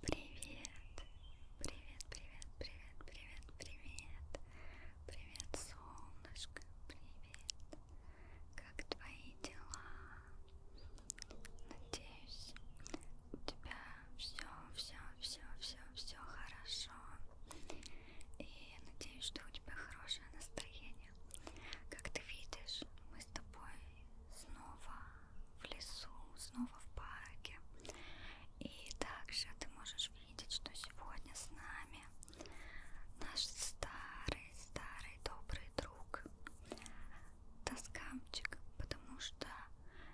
Привет, привет, привет, привет, привет, привет, привет, солнышко, привет. Как твои дела? Надеюсь, у тебя все, все, все, все, все хорошо. И надеюсь, что у тебя хорошее настроение. Как ты видишь, мы с тобой снова в лесу, снова в парке. И также ты можешь видеть, что сегодня с нами наш старый-старый добрый друг Тоскамчик, потому что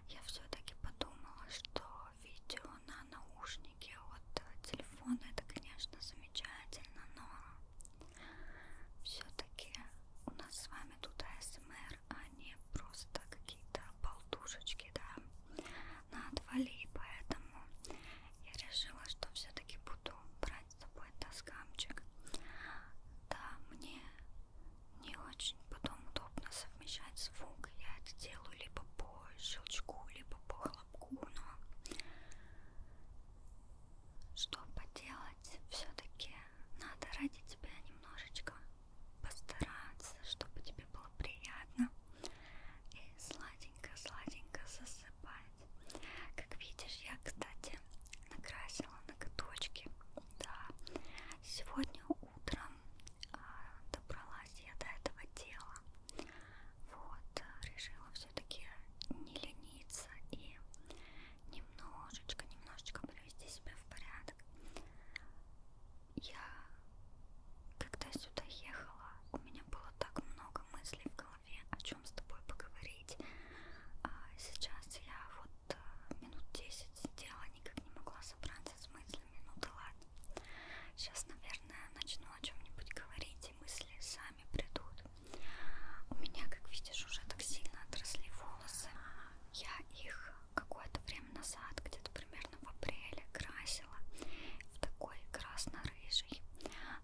я все-таки подумала, что видео на наушнике от телефона это, конечно, замечательно, но все-таки у нас с вами тут АСМР, пример, а не просто какие-то болтушечки, да, на отвали. Поэтому я решила, что все-таки буду брать с собой доскамчик. Да, мне не очень потом удобно совмещать звук. Я это делаю либо по щелчку, либо по хлопку, но что поделать, все-таки надо ради тебя немножечко постараться, чтобы тебе было приятно и сладенько-сладенько засыпать. Как видишь, я, кстати, накрасила ноготочки. Да, сегодня утром а, добралась я до этого дела. Вот, а, решила все-таки не лениться и немножечко, немножечко привести себя в порядок. Я, когда сюда ехала, у меня было так много мыслей в голове, о чем с тобой поговорить. А сейчас я вот э, минут 10 сидела, никак не могла собраться с мыслями. Ну да ладно. Сейчас, наверное, начну о чем-нибудь говорить, и мысли сами придут. У меня, как видишь, уже так сильно отросли волосы. Я их какое-то время назад, где-то примерно в апреле, красила в такой красно-рыжий.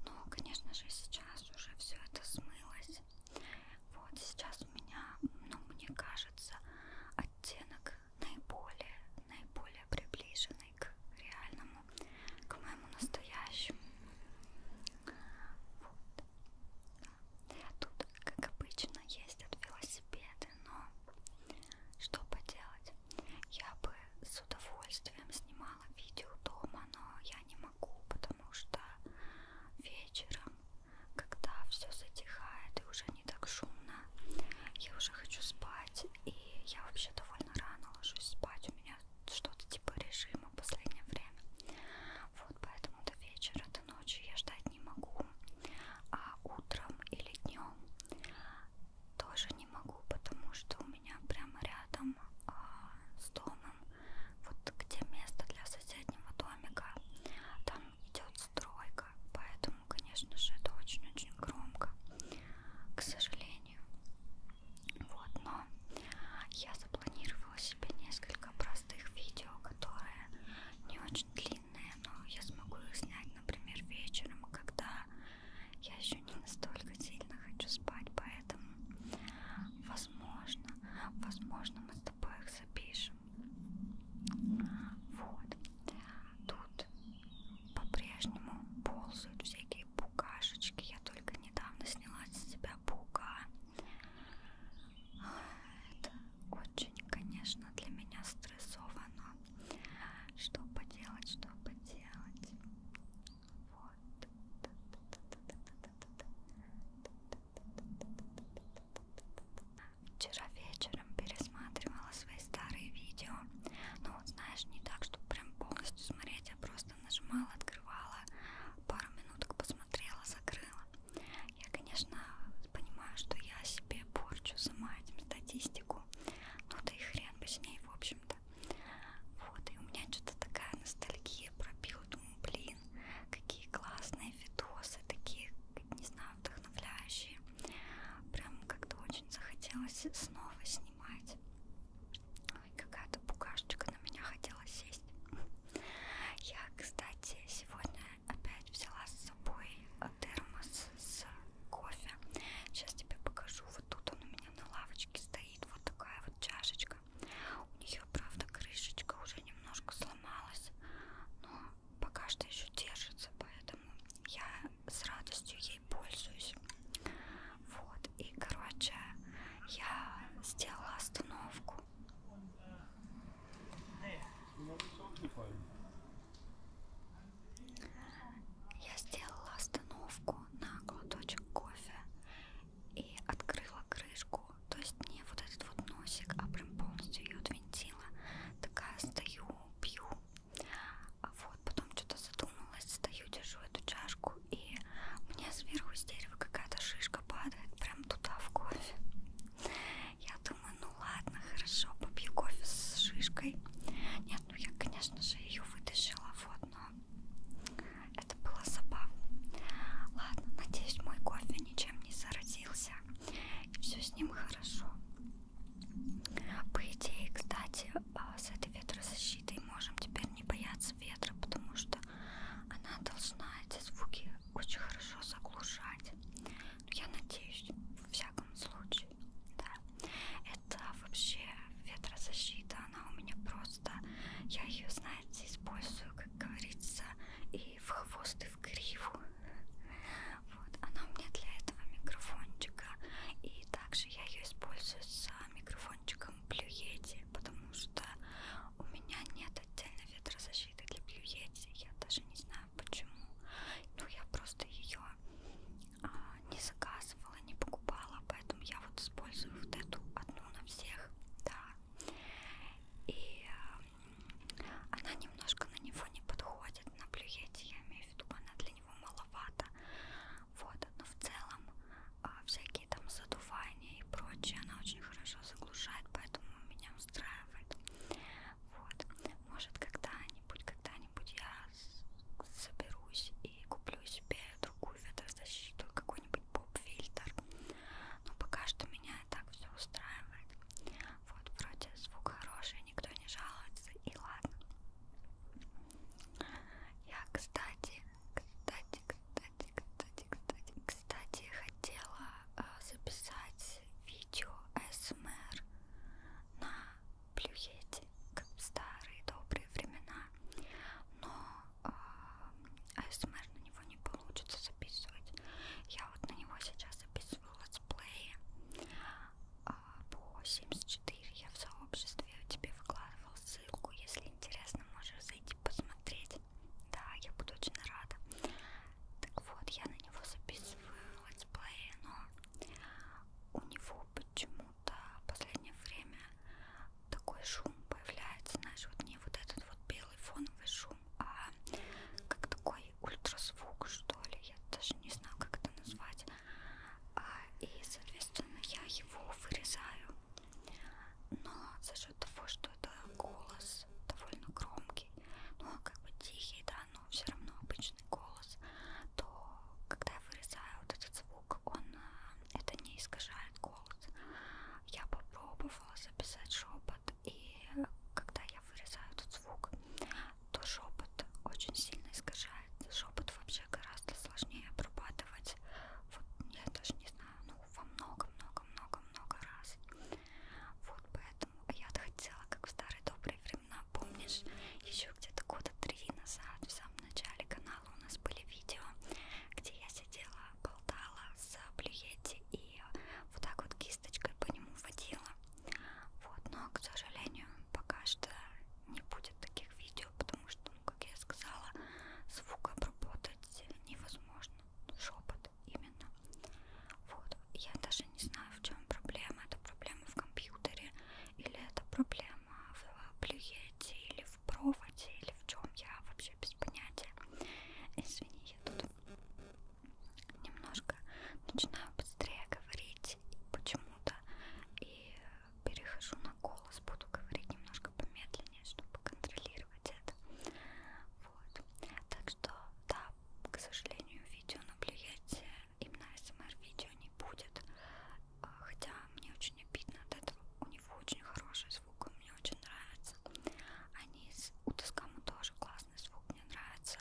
Но, конечно же, сейчас уже все это смылось. Вот сейчас у меня, ну, мне кажется, оттенок наиболее, наиболее приближенный к реальному, к моему настоящему. Вот. Тут, как обычно, ездят велосипеды, но что поделать? Я бы с удовольствием снимала видео дома, но я не могу, потому что вечером, когда все затихает и уже не так шумно, я уже хочу спать, и я вообще довольно рано ложусь спать, у меня что-то типа режима в последнее время. Вот поэтому до вечера, до ночи я ждать не могу. А утром или днем тоже не могу, потому что у меня прямо рядом а, с домом, вот где место для соседнего домика, там идет стройка, поэтому, конечно же, это очень-очень громко, к сожалению. Вот, но я запланировала себе несколько простых видео, которые не очень длинные, но я смогу их снять, например, вечером, когда я еще не настолько сильно хочу спать, поэтому возможно, возможно мы с тобой их запишем. Вот. Тут по-прежнему ползают всякие букашечки. Я только недавно сняла с себя паука. Это очень, конечно, для меня стрессовано. Что поделать, что поделать. Вот. Вчера вечером пересматривала свои старые видео. Ну, знаешь, не так, чтобы прям полностью смотреть, а просто нажимала, открывала, пару минуток посмотрела, закрыла. Я, конечно, понимаю, что я себе порчу сама этим статистику, но да и хрен бы с ней, в общем-то. Вот, и у меня что-то такая ностальгия пробила, думаю, блин, какие классные видосы, такие, не знаю, вдохновляющие. Прям как-то очень захотелось снова снимать. Ой, какая-то букашечка на меня хотела сесть. Я, кстати, сегодня Опять взяла с собой термос с кофе. Сейчас тебе покажу. Вот тут он у меня на лавочке стоит. Вот такая вот чашечка. У нее, правда, крышечка уже немножко сломалась. Но пока что еще держится. Поэтому я с радостью ей пользуюсь. Вот. И, короче, я сделала остановку я сделала остановку на глоточек кофе и открыла крышку, то есть не вот этот вот носик, а прям полностью ее отвинтила. Такая стою, пью. А вот потом что-то задумалась, стою, держу эту чашку, и мне сверху с дерева какая-то шишка падает прям туда в кофе. Я думаю, ну ладно, хорошо, попью кофе с шишкой. Нет, ну я, конечно же, ее вытащила, вот, но это было забавно. Ладно, надеюсь, мой кофе ничем не заразился. И все с ним хорошо. По идее, кстати, а, с этой ветрозащитой можем теперь не бояться ветра, потому что она должна эти звуки очень хорошо заглушать. Но ну, я надеюсь, в всяком случае, да. Это вообще ветрозащита, она у меня просто, я ее, знаете, использую, как говорится, и в хвост, и в гриву. Вот, она у меня для этого микрофончика. И также я ее использую с микрофончиком Блюети, потому что у меня нет отдельно ветрозащиты защиты для Бьюетти, я даже не знаю почему. Ну, я просто ее а, не заказывала, не покупала, поэтому я вот использую вот эту одну на всех, да. И а, она немножко на него не подходит, на Блюете, я имею в виду, она для него маловато. Вот, но в целом а, всякие там задувания дыхание и прочее, она очень хорошо заглушает, поэтому меня устраивает. Вот. Может, когда-нибудь, когда-нибудь я соберусь и куплю себе другую ветрозащиту, какой-нибудь поп-фильтр. Но пока что меня и так все устраивает. Вот, вроде звук хороший, никто не жалуется, и ладно. Я, кстати, кстати, кстати, кстати, кстати, кстати, хотела Э, записать видео СМР на плюете, как в старые добрые времена, но э, АСМР на него не получится записывать. Я вот на него сейчас записываю летсплеи э, по 74. Я в сообществе тебе выкладывал ссылку. Если интересно, можешь зайти посмотреть. Да, я буду очень рада. Так вот, я на него записываю летсплей, но у него почему-то в последнее время такой шум появляется, знаешь, вот не вот этот вот белый фоновый шум, а как такой ультразвук, что ли, я даже не знаю, как это назвать. А, и, соответственно, я его вырезаю. Но, за насчет того, что это голос довольно громкий, но ну, он а как бы тихий, да, но все равно обычный голос, то когда я вырезаю вот этот звук, он э, это не искажает голос. Я попробовала записать шепот, и когда я вырезаю этот звук, то шепот очень сильно искажает. Шепот вообще гораздо сложнее обрабатывать. Вот я даже не знаю, ну во много-много-много-много раз. Вот поэтому я-то хотела, как в старые добрые времена, помнишь, еще где-то года три назад, в самом начале канала у нас были видео, где я сидела, болтала с плюете и вот так вот кисточкой по нему водила. Вот, но, к сожалению, пока что не будет таких видео, потому что, ну, как я сказала, звук обработать невозможно шепот именно. Вот. Я даже не знаю, в чем проблема. Это проблема в компьютере, или это проблема в плюете, или в проводе, или в чем я вообще без понятия. Извини, я тут немножко начинаю быстрее говорить почему-то и перехожу на голос, буду говорить немножко помедленнее, чтобы контролировать это. Вот. Так что, да, к сожалению, видео на плюете именно СМР-видео не будет. А, хотя мне очень обидно от этого. У него очень хороший звук, мне очень нравится. Они с Утаскаму тоже классный звук, мне нравится.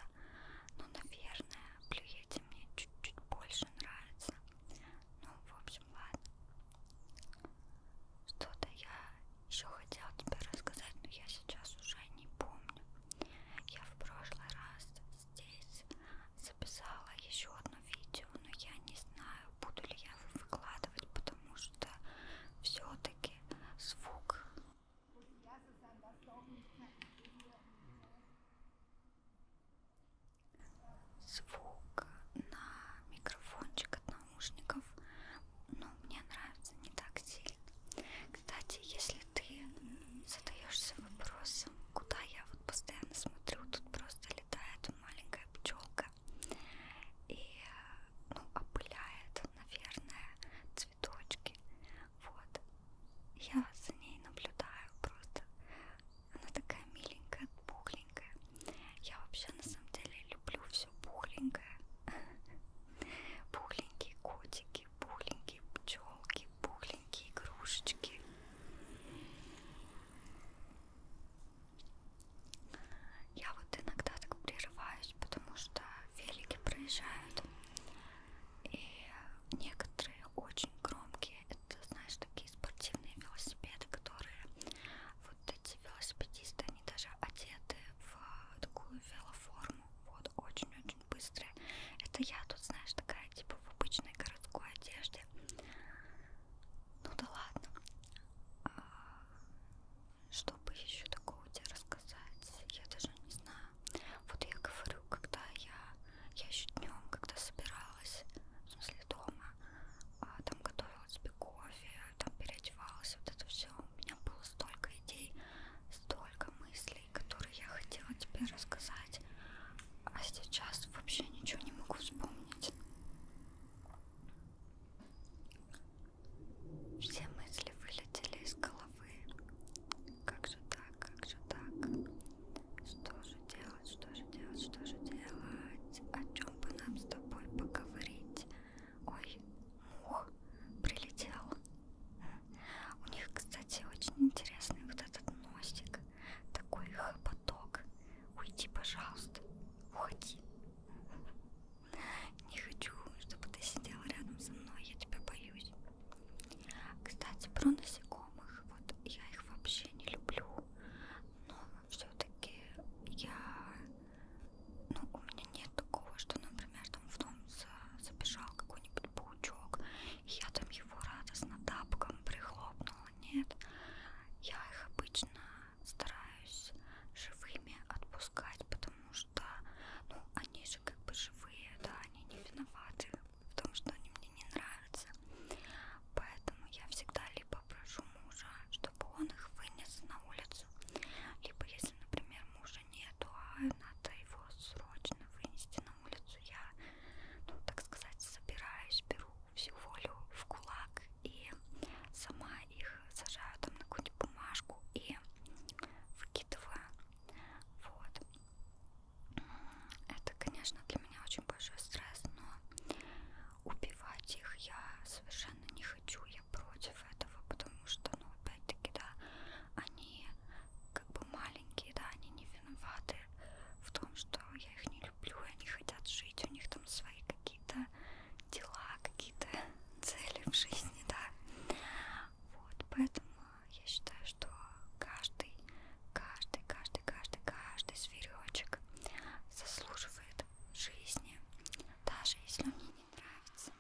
Но, наверное, плюете мне чуть-чуть больше нравится. Ну, в общем, ладно. Что-то я еще хотела тебе рассказать, но я сейчас уже не помню. Я в прошлый раз здесь записала еще одно видео, но я не знаю, буду ли я его выкладывать, потому что все-таки звук. Звук на микрофончик от наушников, но ну, мне нравится не так сильно. Кстати, если ты задаешься вопросом, куда я вот постоянно смотрю, тут просто летает маленькая пчелка и ну, опыляет, наверное, цветочки. Вот. Я за ней наблюдаю просто. Она такая миленькая, пухленькая. Я вообще на самом деле люблю все пухленькое. Пухленькие котики, пухленькие пчелки, пухленькие игрушечки. Я вот иногда так прерываюсь, потому что велики проезжают. И некоторые очень громкие. Это, знаешь, такие спортивные велосипеды, которые вот эти велосипедисты, они даже одеты в такую велоформу, вот, очень-очень быстрые. Это я тут, знаешь, такая, типа, в обычной городской одежде. Ну да ладно. А, что бы еще такого тебе рассказать? Я даже не знаю. Вот я говорю, когда я, я еще днем, когда собиралась, в смысле дома, а, там готовила себе кофе, там переодевалась, вот это все. У меня было столько идей, столько мыслей, которые я хотела тебе рассказать, а сейчас вообще ничего не могу вспомнить. Все мысли вылетели из головы. Как же так, как же так? Что же делать, что же делать, что же делать? О чем бы нам с тобой поговорить? Ой, ух, прилетел. У них, кстати, очень интересный вот этот носик. Такой хопоток. Уйди, пожалуйста. Уходи. Не хочу, чтобы ты сидела рядом со мной. Я тебя боюсь. Кстати, про насекомых. Вот я их вообще не люблю. Но все-таки я ну, у меня нет такого, что, например, там в дом забежал какой-нибудь паучок, и я там его радостно тапком прихлопнула. Нет, я их обычно стараюсь живыми отпускать, потому что, ну, они же как бы живые, да, они не виноваты в том, что они мне не нравятся. Поэтому я всегда либо прошу мужа, чтобы он их вынес на улицу, либо если если, например, мужа нету, а надо его срочно вынести на улицу, я, ну, так сказать, собираюсь, беру всю волю в кулак и сама их сажаю там на какую-нибудь бумажку и выкидываю. Вот. Это, конечно, для меня очень большой стресс, но убивать их я совершенно не хочу хочу, я против этого, потому что, ну, опять-таки, да, они как бы маленькие, да, они не виноваты в том, что я их не люблю, и они хотят жить, у них там свои какие-то дела, какие-то цели в жизни, да. Вот, поэтому я считаю, что каждый, каждый, каждый, каждый, каждый зверечек заслуживает жизни, даже если он не не нравится.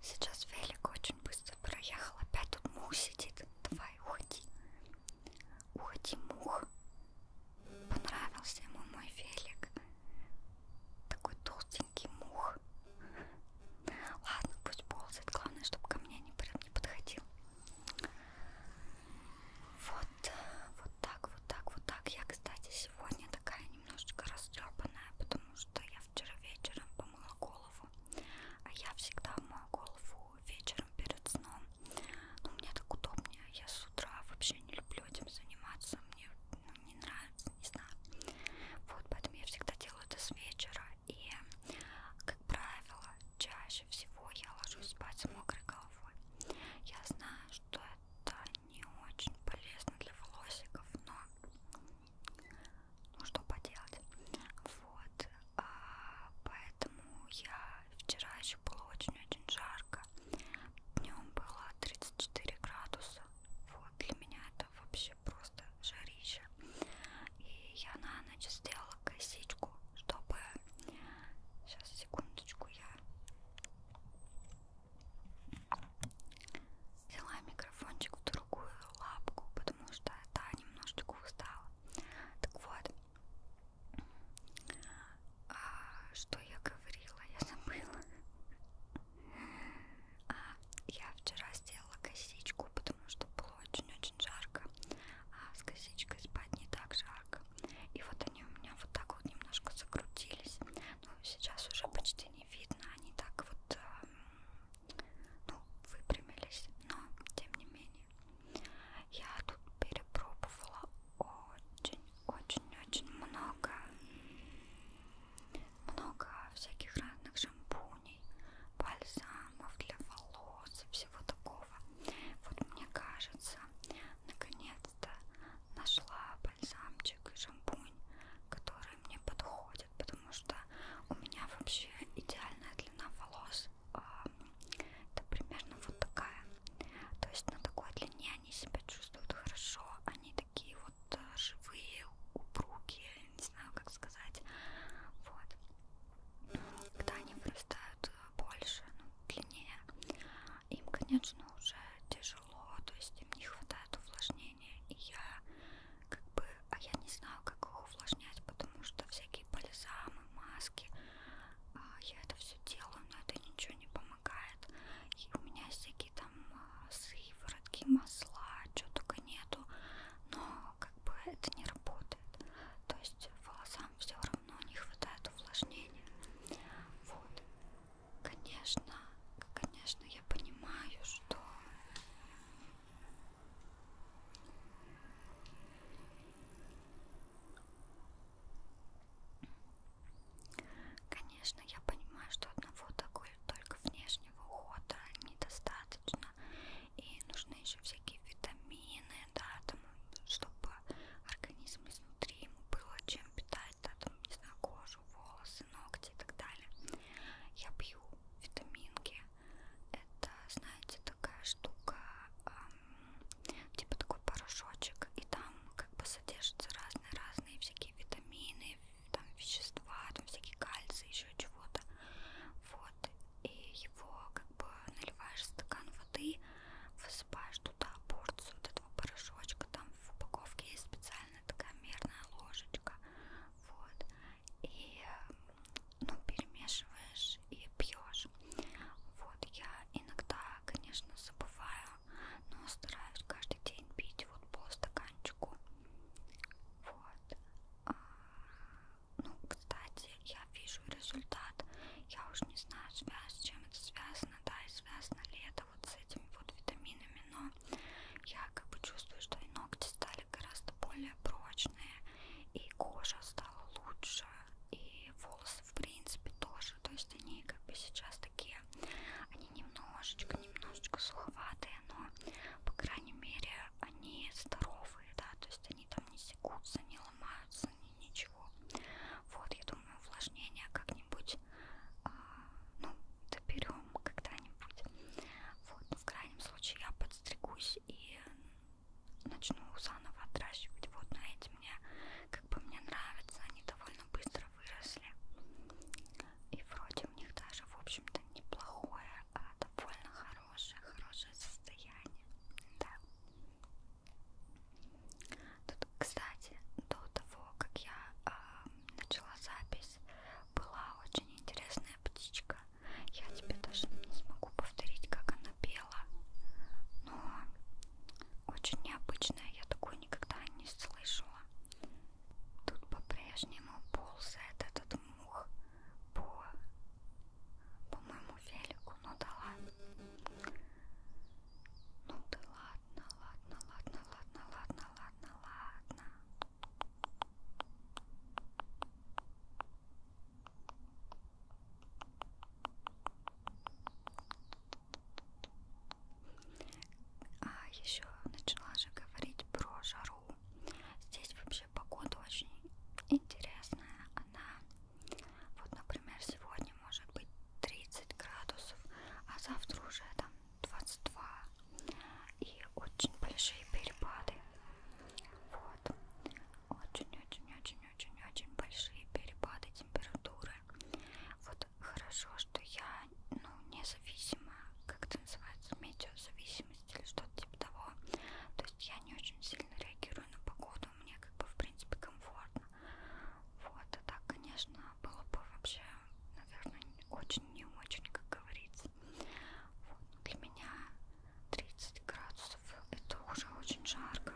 Сейчас велик очень быстро проехал. Опять тут мух сидит. Давай, уходи. Уходи, мух. Понравился ему мой велик. Такой толстенький мух. Ладно, пусть ползает. Главное, чтобы ко мне не, не подходил. Вот, вот так, вот так, вот так. Я, кстати, сегодня такая немножечко растрепанная, потому что я вчера вечером помыла голову. А я всегда мою голову вечером перед сном. Но ну, мне так удобнее. Я с утра вообще не люблю этим заниматься. Мне ну, не нравится, не знаю. Вот, поэтому я всегда делаю это с вечера. И, как правило, чаще всего я ложусь спать с мокрой головой. Я знаю, что это не очень полезно для волосиков, но ну что поделать. Вот, а, поэтому я вчера еще было очень-очень жарко. Днем было 34 градуса. Вот, для меня это вообще просто жарища. И я на ночь сделала косичку, чтобы Сейчас, секундочку, я взяла микрофончик в другую лапку, потому что та немножечко устала. Так вот, а, что я говорила, я забыла. А, я вчера сделала косичку, потому что было очень-очень жарко, а с косичкой спать не так жарко. И вот они у меня вот так вот немножко закрутились. Но ну, сейчас уже почти не видно, они так вот э, ну, выпрямились. Но, тем не менее, я тут перепробовала очень-очень-очень много много всяких разных шампуней, бальзамов для волос, всяких всего такого. Вот мне кажется, наконец-то нашла бальзамчик и шампунь, который мне подходит, потому что у меня вообще идеальная длина волос. А, это примерно вот такая. То есть на такой длине они себя чувствуют хорошо. Они такие вот э, живые, упругие, не знаю как сказать. Вот. Когда они вырастают э, больше, ну, длиннее, им, конечно, уже тяжело, то есть им не хватает увлажнения, и я как бы, а я не знаю, как их увлажнять, потому что всякие бальзамы, маски, а, я это все делаю, но это ничего не помогает, и у меня всякие там а, сыворотки, масла, что только нету, но как бы это не работает, то есть волоса там все равно не хватает увлажнения. Вот. Конечно, конечно, я понимаю, что Конечно, я понимаю, что одного такой только внешнего ухода недостаточно. И нужны еще всякие витамины, да, там, чтобы организм изнутри ему было чем питать, да, там, не знаю, кожу, волосы, ногти и так далее. Я пью витаминки. Это, знаете, такая штука, эм, типа такой порошочек, и там как бы содержатся разные-разные всякие витамины, там вещества, там всякие кальций, еще чего-то. Вот. И его как бы наливаешь стакан воды, высыпаешь туда порцию вот этого порошочка, там в упаковке есть специальная такая мерная ложечка, вот, и, ну, перемешиваешь и пьешь. Вот, я иногда, конечно, забываю, но стараюсь каждый день пить вот по стаканчику, вот. А, ну, кстати, я вижу результат. Я уж не знаю, с чем это связано, да, и связано ли это вот с этими вот витаминами, но я как бы чувствую, что и ногти стали гораздо более прочные, и кожа стала лучше, и волосы в принципе тоже, то есть они как бы сейчас такие, они немножечко, немножечко суховатые, но по крайней мере они здоровые, да, то есть они там не секутся, не ломаются, ни, ничего. Вот, я думаю, увлажнение как-нибудь, э, ну, доберем когда-нибудь. Вот, ну, в крайнем случае я подстригусь и начну заново отращивать. Вот, но эти мне, как бы мне нравятся, они довольно быстро выросли. И вроде у них даже, в общем-то, неплохое, а довольно хорошее, хорошее состояние. Да. Тут, кстати, до того, как я э, начала запись, была очень интересная птичка. Я тебе даже не смогу повторить, как она пела, но очень необычная, я такую никогда не слышала. Тут по-прежнему ползает этот мух по, по моему велику, ну да ладно. Ну ты ладно, ладно, ладно, ладно, ладно, ладно, ладно. А еще начала же говорить про жару. Здесь вообще погода очень интересная. Она вот, например, сегодня может быть 30 градусов, а завтра уже там 22. И очень большие перепады. Вот. Очень-очень-очень-очень-очень большие перепады температуры. Вот хорошо, что я, ну, независимо, как это называется, метеозависимость или что-то типа того. То есть я не очень сильно реагирую на погоду что мне как бы в принципе комфортно. Вот, а так, конечно, было бы вообще, наверное, очень не очень, как говорится. Вот, для меня 30 градусов это уже очень жарко.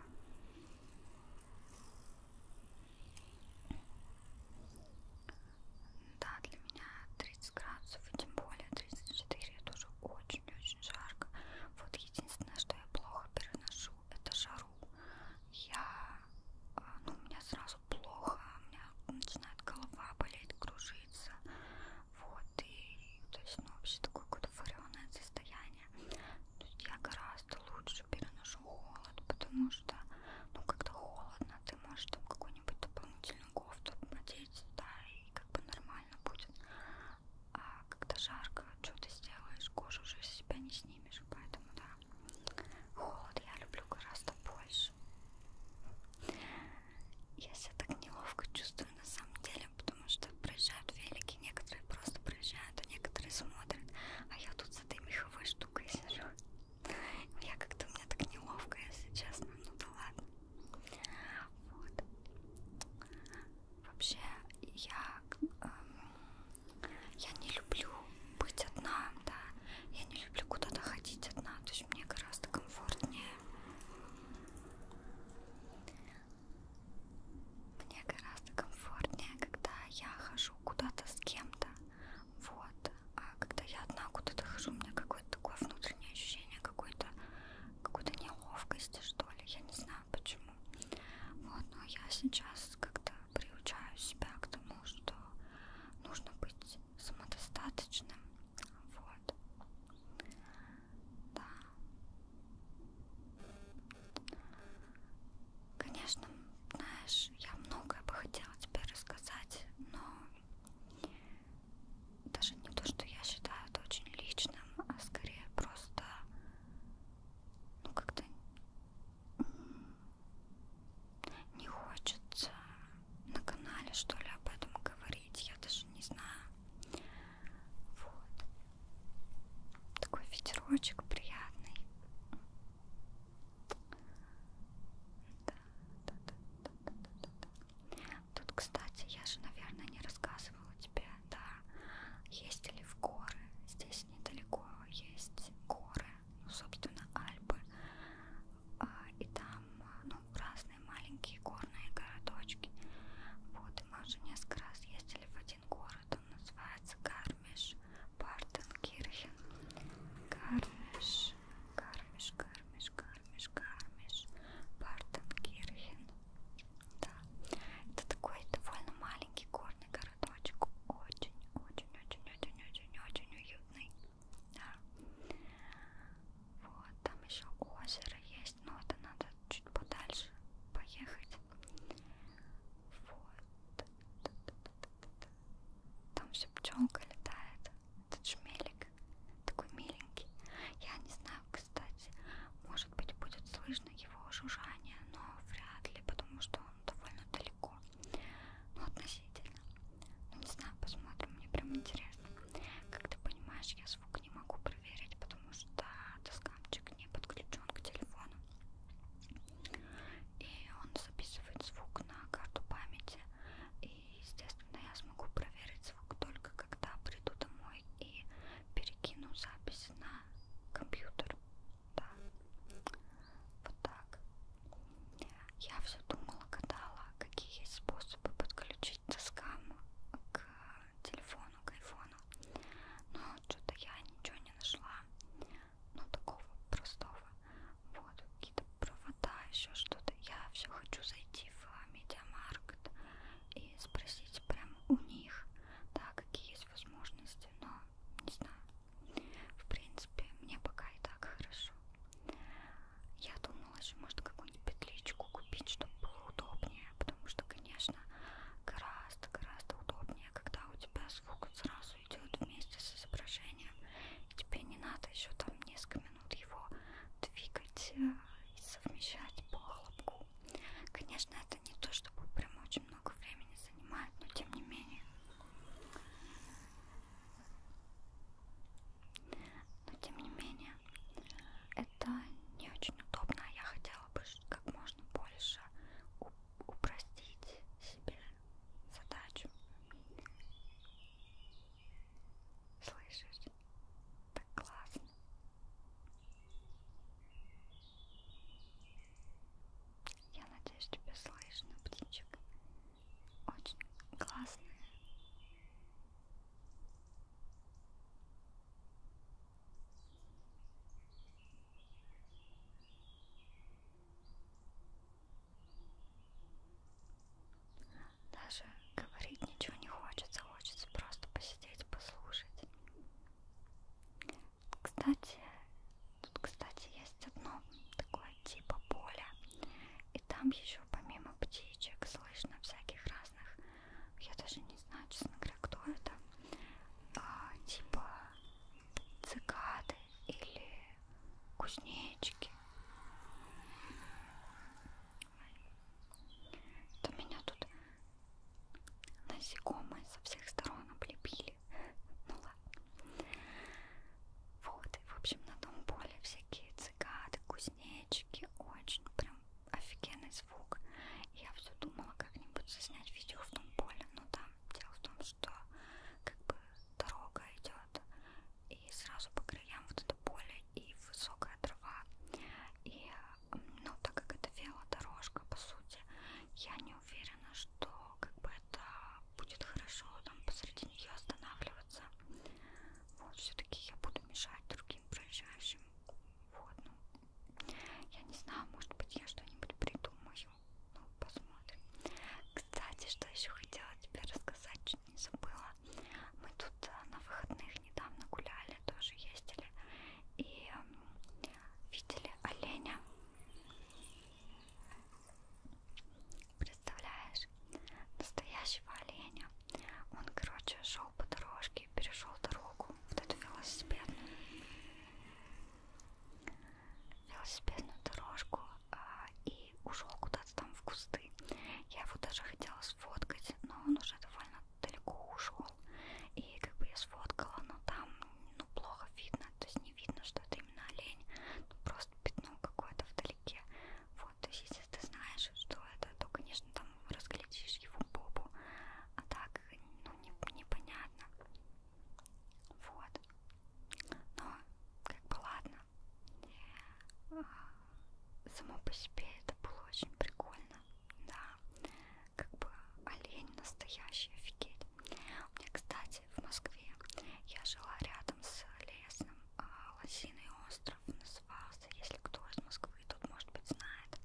Да, для меня 30 градусов, и тем более 34, это уже очень-очень жарко. Вот единственное, что я плохо переношу выношу это жару. Я, э, ну, у меня сразу плохо, у меня начинает голова болеть, кружиться. Вот, и, то есть, ну, вообще такое какое-то вареное состояние. То есть я гораздо лучше переношу холод, потому что, ну, когда холодно, ты можешь там какую-нибудь дополнительную кофту надеть, да, и как бы нормально будет а когда жарко, что ты сделаешь, кожу уже с себя не снимешь, поэтому да, холод я люблю гораздо больше. Я себя так неловко чувствую на самом деле, потому что проезжают велики, некоторые просто проезжают, а некоторые смотрят, а я тут с этой меховой штукой сижу. Я как-то у меня так неловко, если честно, ну да ладно. Вот. Вообще, я, эм, я не люблю быть одна, да. Я не люблю куда-то ходить одна. То есть мне гораздо комфортнее. Мне гораздо комфортнее, когда я хожу куда-то с кем-то. Вот. А когда я одна куда-то хожу, у меня какое-то такое внутреннее ощущение какой-то какой-то неловкости, что ли. Я не знаю почему этому. Вот, но я сейчас как-то приучаю себя к тому, что нужно быть самодостаточным. Вот. Да. Конечно, знаешь, я многое бы хотела тебе рассказать, но даже не то, что я считаю это очень личным, а скорее просто ну как-то не хочется на канале что ли об этом говорить, я даже не знаю. Вот. Такой ветерочек приятный. Да, да, да, да, да, да, да. Тут, кстати, я же, наверное, не рассказывала тебе да. Ездили в горы, здесь недалеко есть горы, ну, собственно, Альпы. А, и там, ну, разные маленькие горные городочки. Вот, мы уже несколько раз ездили в один город, он называется Гармиш, Партенкирхен. Гармиш, Гармиш, Гармиш, Гармиш, Гармиш, Партенкирхен. Да. Это такой довольно маленький горный городочек. Очень-очень-очень-очень-очень-очень уютный. Да. Вот, там еще озеро есть, но это надо чуть подальше поехать. Вот. Там все пчелка летает. Этот шмелик такой миленький. Я не знаю, кстати, может может быть, будет слышно его жужжание, но вряд ли, потому что он довольно далеко. Ну, относительно. Ну, не знаю, посмотрим, мне прям интересно. Как ты понимаешь, я звук не могу проверить, потому что доскамчик не подключен к телефону. И он записывает звук на карту памяти. И, естественно, я смогу проверить звук только когда приду домой и перекину запись на компьютер. Да. Вот так. Я все думала, гадала, какие есть способы подключить доскам к телефону, к айфону. Но что-то я ничего не нашла. Ну, такого простого. Вот, какие-то провода, еще что-то. Я все хочу зайти в медиамаркт, и спросить прям у них, да, какие есть возможности, но не знаю. В принципе, мне пока и так хорошо. Я думала, что можно какую-нибудь петличку купить, чтобы было удобнее, потому что, конечно, гораздо-гораздо удобнее, когда у тебя звук сразу идет вместе с изображением, и тебе не надо еще там несколько минут его двигать э, и совмещать по хлопку. Конечно, это не то, чтобы прям очень много времени занимает, но тем не менее. Но тем не менее, это не очень удобно. Я хотела бы как можно больше упростить себе задачу. Слышишь? Так классно. Я надеюсь, тебя слышно, птичек. Очень классная. Даже говорить ничего не хочется, хочется просто посидеть, послушать. Кстати, тут, кстати, есть одно такое типа поля. И там еще помимо птичек слышно всяких разных, я даже не знаю, честно говоря, кто это, а, типа цикады или кузнечики. Это меня тут Насекомые со всех сторон облепили. Ну ладно. Вот, и, в общем, на том поле всякие цикады, кузнечики. Очень прям офигенный звук. Я все думала как-нибудь заснять видео в том поле, но там дело в том, что как бы дорога идет и сразу по краям вот это поле и высокая трава. И ну, так как это велодорожка, по сути, я не уверена, что как бы это будет хорошо там посреди нее останавливаться. Вот, все-таки я буду мешать другим проезжающим. Вот, ну, я не знаю, может быть, я что-нибудь придумаю. Ну, посмотрим. Кстати, что еще хотела тебе рассказать, чуть не забыла. Мы тут э, на выходных недавно гуляли, тоже ездили. И видели оленя? Представляешь, настоящего оленя. Он, короче, шел по дорожке и перешел дорогу. Вот эту велосипедную, велосипедную дорожку а, и ушел куда-то там в кусты. Я его даже хотела сфоткать, но он уже довольно далеко ушел. И как бы я сфоткала, но там ну, плохо видно, то есть не видно, что это именно олень. Просто пятно какое-то вдалеке. Вот, то есть если ты знаешь, что это, то, конечно, там разглядишь его бобу. А так, ну, не, непонятно. Вот. Но, как бы, ладно. Само по себе это было очень прикольно да, как бы олень настоящий, офигеть. У меня, кстати, в Москве я жила рядом с лесом, а, Лосиный остров назывался, если кто из Москвы тут, может быть, знает.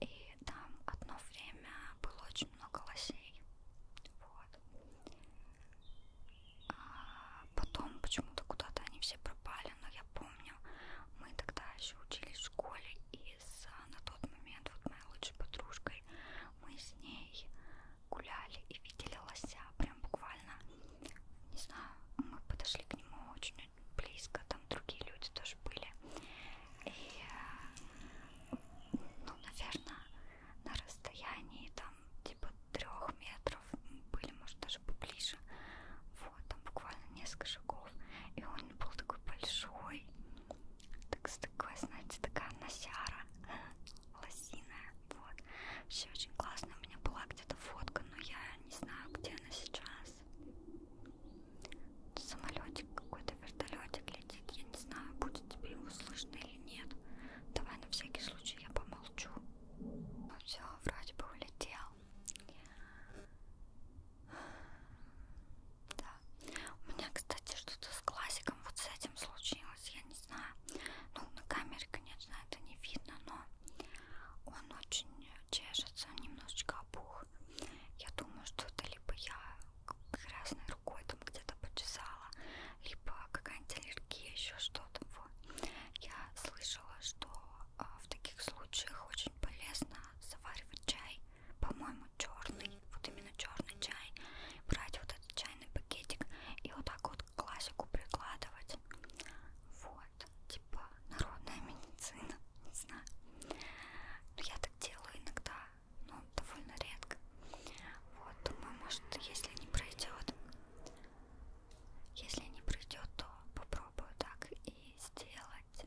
И там одно время было очень много лосей. Вот. А потом почему-то куда-то они все пропали, но я помню, мы тогда еще учились в школе, и и с на тот момент вот моей лучшей подружкой мы с ней гуляли и видели лося. Прям буквально, не знаю, мы подошли к нему очень близко, там другие люди тоже были. И, ну, наверное, на расстоянии там типа трех метров были, может, даже поближе. Вот, там буквально несколько шагов цветов. И он был такой большой. Так с такой, знаете, такая носяра лосиная. Вот. Вообще очень классно. У меня была где-то фотка, но я не знаю, где она сейчас. Самолетик какой-то, вертолетик летит. Я не знаю, будет тебе его слышно или нет. Давай на всякий случай я помолчу. Ну все, вроде бы улетел. Да. У меня, кстати, что-то с глазиком вот с этим случилось, я не знаю. Ну, на камере, конечно, это не видно, но он очень чешется, немножечко опух. Я думаю, что это либо я красной рукой там где-то почесала, либо какая-нибудь аллергия, еще что-то. Вот. Я слышала, что а, в таких случаях очень полезно заваривать чай по-моему, черный, вот именно черный чай, брать вот этот чайный пакетик и вот так вот классику прикладывать. Вот, типа народная медицина, не знаю. Но я так делаю иногда, но довольно редко. Вот, думаю, может, если не пройдет, если не пройдет, то попробую так и сделать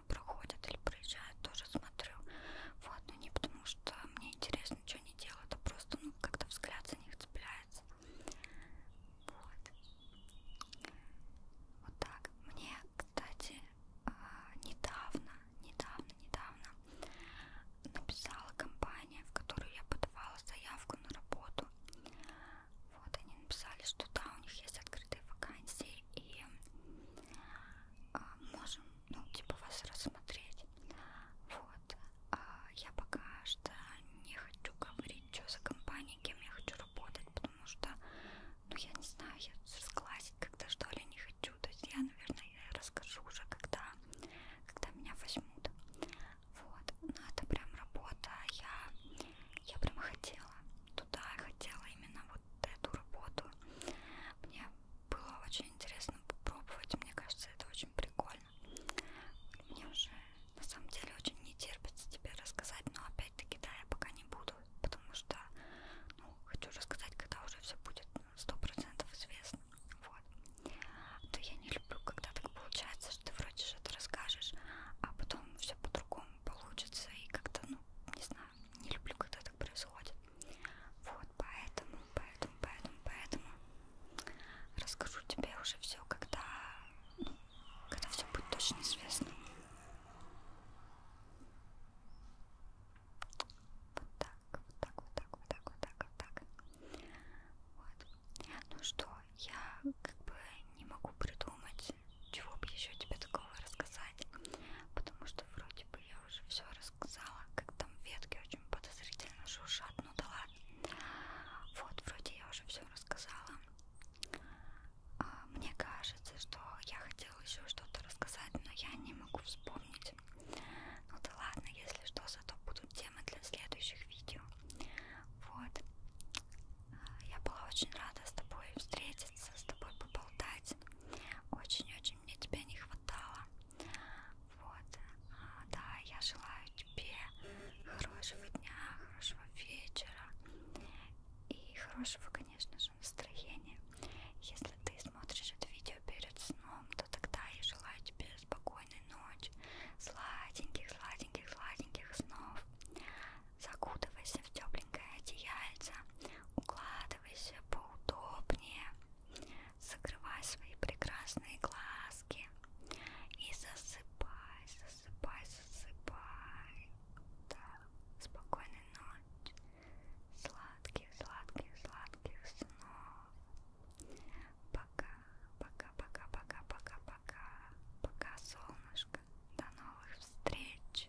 мимо проходят или проезжают, тоже смотрю. Вот, но ну, не потому что мне интересно, что они делают, а просто, ну, как-то взгляд за них цепляется. Вот. Вот так. Мне, кстати, а, недавно, недавно, недавно написала компания, в которую я подавала заявку на работу. Вот, они написали, что да, у них есть открытые вакансии, и а, можем, ну, типа, вас рассмотреть. Вот. А я пока что не хочу говорить, что за компания, кем я хочу работать, потому что, ну, я не знаю, я сглазить когда что ли не хочу. То есть я, наверное, я расскажу уже, когда, когда меня возьмут. Вот. Но ну, это прям работа. Я, я прям хотела хотела туда, я хотела именно вот эту работу. Мне было очень интересно попробовать, мне кажется, это очень прикольно. Мне уже на самом деле очень не терпится тебе рассказать, но опять-таки да, я пока не буду, потому что ну, хочу рассказать, когда уже все будет сто процентов известно. Вот. То я не люблю, когда так получается, что ты вроде что-то расскажешь, а потом все по-другому получится и как-то, ну, не знаю, не люблю, когда так происходит. Вот, поэтому, поэтому, поэтому, поэтому расскажу тебе уже все, когда, ну, когда все будет точно известно. Вот так, вот так, вот так, вот так, вот так, вот так. Вот. Ну что, я как бы не могу придумать, чего бы еще тебе такого рассказать, потому что вроде типа я уже все рассказала, как там ветки очень подозрительно шуршат, ну да ладно. Вот, вроде я уже все рассказала. А, мне кажется, что я хотела еще что-то рассказать, но я не могу вспомнить. Ну да ладно, если что, зато будут темы для следующих видео. Вот. А, я была очень рада с тобой встретиться, с тобой поболтать. Очень-очень мне тебя не хватало. Вот. А, да, я желаю тебе хорошего дня, хорошего вечера и хорошего, конечно же, настроения. Если ты смотришь это видео перед сном, то тогда я желаю тебе спокойной ночи, сладеньких, сладеньких, сладеньких снов. Закутывайся в тепленькое одеяльце, укладывайся Усаживайся поудобнее, закрывай свои прекрасные глазки и засыпай, засыпай, засыпай. Да. Спокойной ночи, сладких, сладких, сладких снов. Пока, пока, пока, пока, пока, пока, пока, солнышко. До новых встреч.